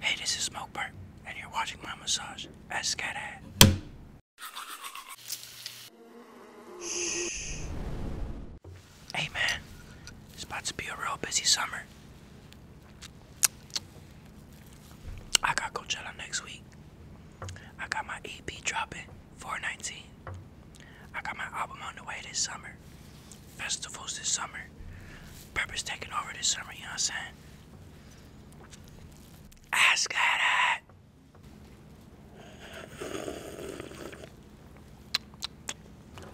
Hey, this is Smokebird, and you're watching my massage at Scathead. Hey man, it's about to be a real busy summer. I got Coachella next week. I got my EP dropping 419. I got my album on the way this summer festivals this summer. Pepper's taking over this summer, you know what I'm saying? Ask that.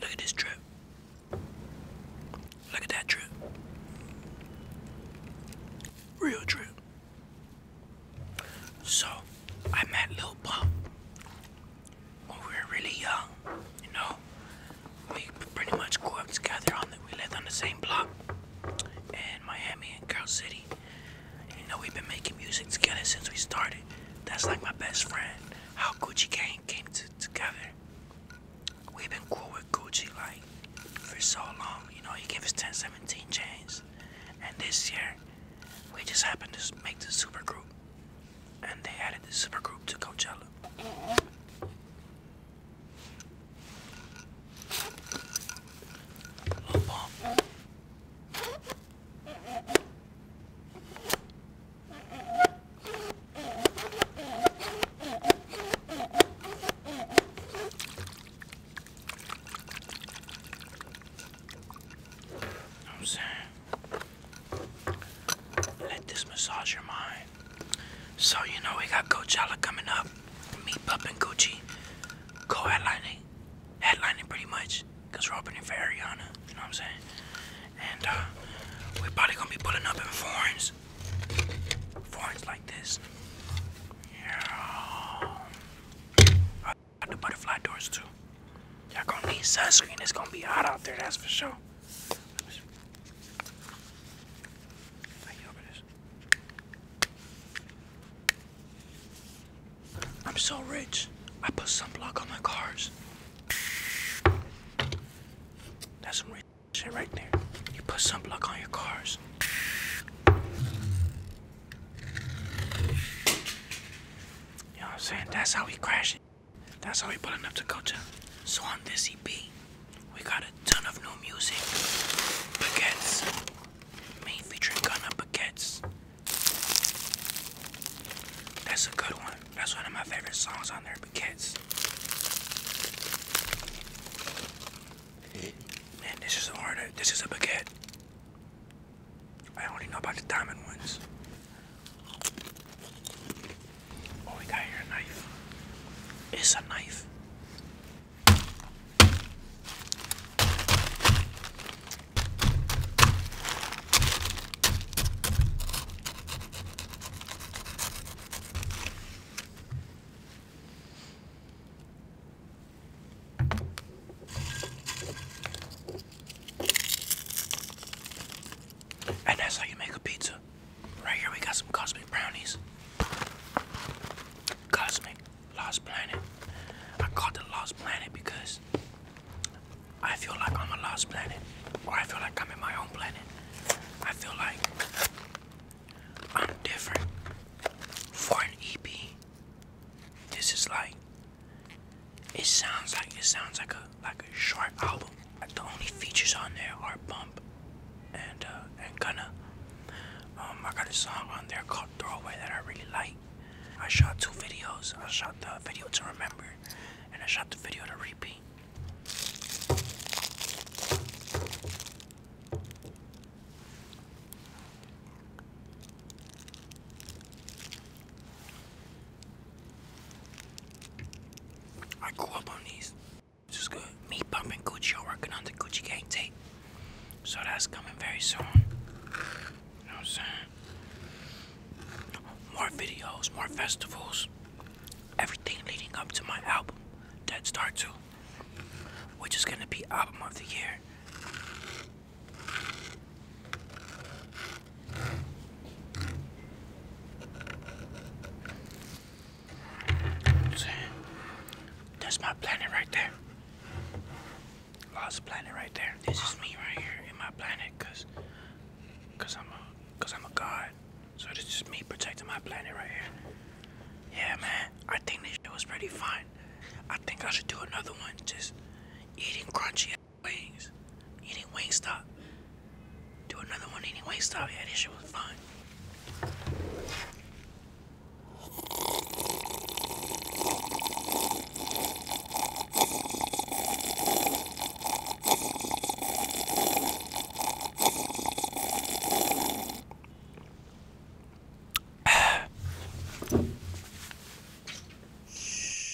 Look at this trip. Look at that trip. Real trip. So, I met Lil Pump when we were really young, you know? we pretty much grew up together on we lived on the same block in Miami and Girl City. You know, we've been making music together since we started. That's like my best friend. How Gucci Gang came to, together. We've been cool with Gucci like for so long. You know, he gave us 1017 chains. And this year, we just happened to make the super group and they added the supergroup to Coachella. I'm saying. Let this massage your mind. So, you know, we got Coachella coming up. me, Pup and Gucci. Co headlining. Headlining pretty much. Because we're opening for Ariana. You know what I'm saying? And uh, we're probably going to be putting up in foreigns. Foreigns like this. Yeah. Uh, the butterfly doors too. Y'all gonna need sunscreen. It's gonna be hot out there, that's for sure. I'm so rich. I put sunblock on my cars. That's some rich shit right there. You put sunblock on your cars. You know what I'm saying? That's how we crash it. That's how we pulling up to go to. So on this EP, we got a ton of new music. Baguettes. Main featuring Gunna Baguettes. That's a good one. That's one of my favorite songs on there, Baguettes. Man, this is a hard, this is a baguette. I only know about the diamond ones. What oh, we got here, knife. It's a knife. And that's how you make a pizza. Right here we got some cosmic brownies. Cosmic Lost Planet. I called it Lost Planet because I feel like I'm a lost planet. Or I feel like I'm in my own planet. I feel like I'm different. For an EP, this is like it sounds like it sounds like a like a short album. The only features on there are Bump and uh, and Gunna. Um I got a song on there called Throwaway that I really like. I shot two videos. I shot the video to remember and I shot the video to repeat. I grew up on these. This is good. Me pumping Gucci working on the Gucci gang tape. So that's coming very soon. You know what I'm saying? More videos, more festivals. Everything leading up to my album, Dead Star 2. Which is gonna be album of the year that's my planet right there. Lost planet right there. This is me right here in my planet, because cause I'm a, cause I'm a god. So this is me protecting my planet right here. Yeah, man. I think this shit was pretty fun. I think I should do another one. Just eating crunchy wings, eating Wingstop. Do another one eating Wingstop. Yeah, this shit was fun.